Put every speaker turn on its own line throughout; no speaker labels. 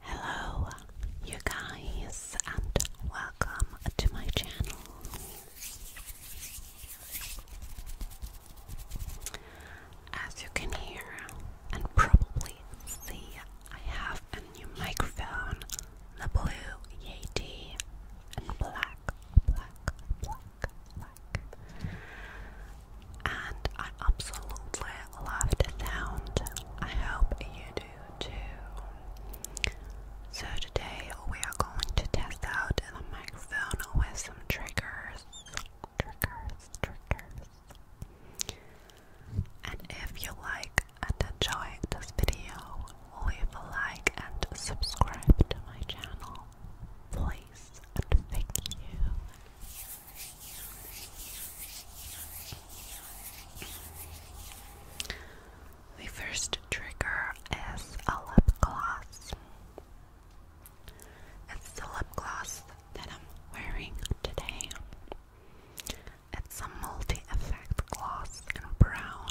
Hello, you guys, and welcome to my channel. As you can hear and probably see, I have a new microphone the blue Yeti and black, black, black, black. And I absolutely love sound. I hope you do too. So, today we are going to test out the microphone with some triggers. Triggers, triggers. And if you like and enjoy this video, leave a like and subscribe to my channel. Please thank you. The first trigger is a lip gloss. It's the lip gloss that I'm wearing today. It's a multi effect gloss in brown.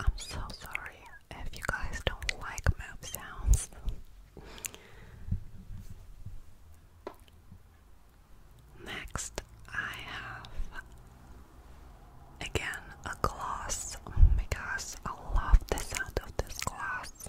I'm so sorry if you guys don't like mouth sounds. Next, I have Again, a glass. Oh my gosh, I love the sound of this glass.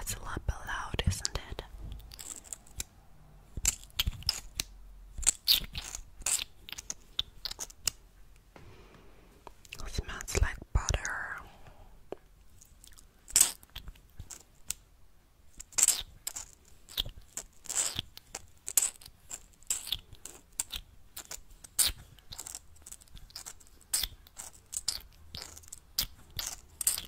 It's a lot loud, isn't it? It smells like butter.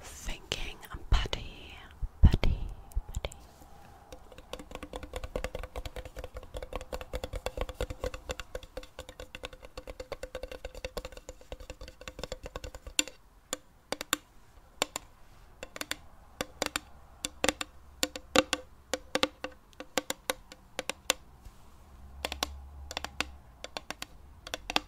thinking I'm putty, putty,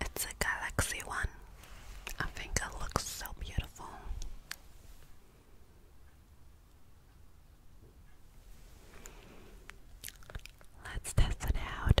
It's a Galaxy one. I think it looks so beautiful. Let's test it out.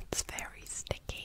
It's very sticky.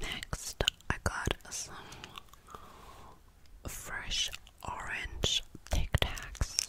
Next, I got some fresh orange Tic Tacs.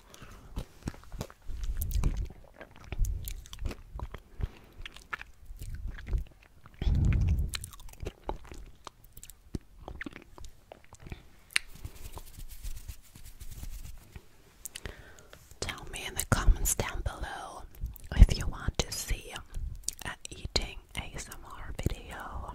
Tell me in the comments down below if you want to see an eating ASMR video.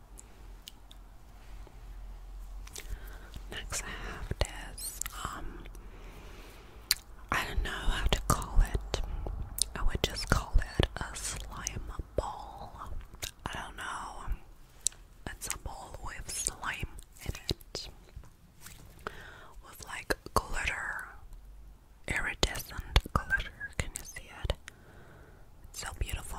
Next, I have this. Um, I don't know how to call it. I would just call it a slime ball. I don't know. It's a ball with slime in it, with like glitter, iridescent glitter. Can you see it? It's so beautiful.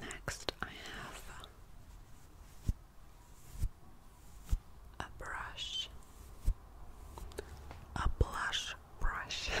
Next, I have a brush, a blush brush.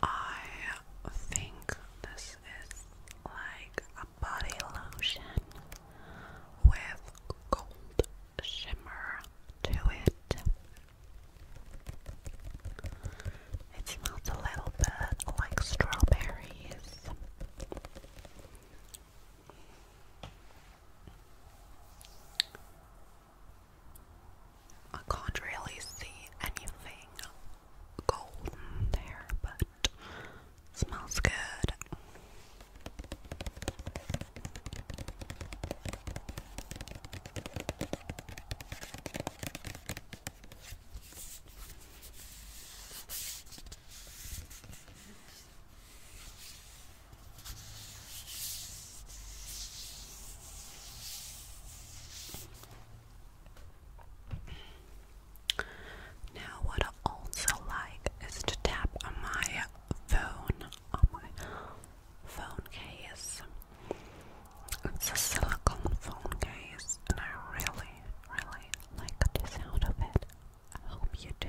I think this this like a body lotion with gold shimmer to it. It smells a little bit like strawberries. I can't really see anything golden there, but smells good. Now, what I also like is to tap on my phone, on my phone case. It's a silicone phone case, and I really, really like the sound of it. I hope you do.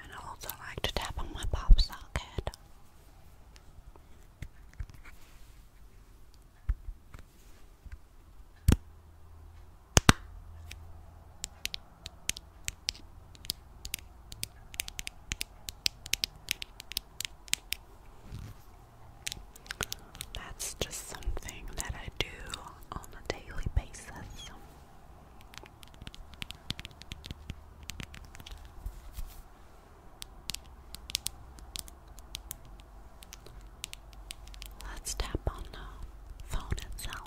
I also like to tap on my pop socket. That's just something that I do on a daily basis. Let's tap on the phone itself.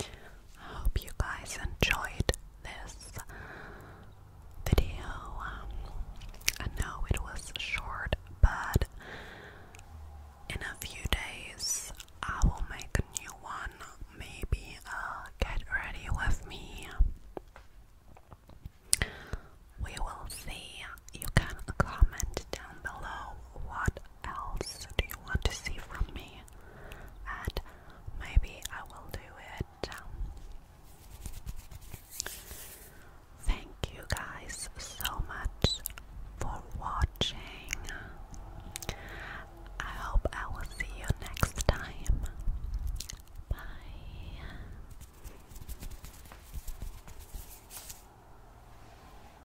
I hope you guys enjoyed this video. Um, I know it was short, but in a few days I will make a new one. Maybe uh, get ready with me. We will see. You can comment down below what else do you want to see from me? And maybe I will do it. Um, thank you guys so much for watching. I hope I will see you next time. Bye.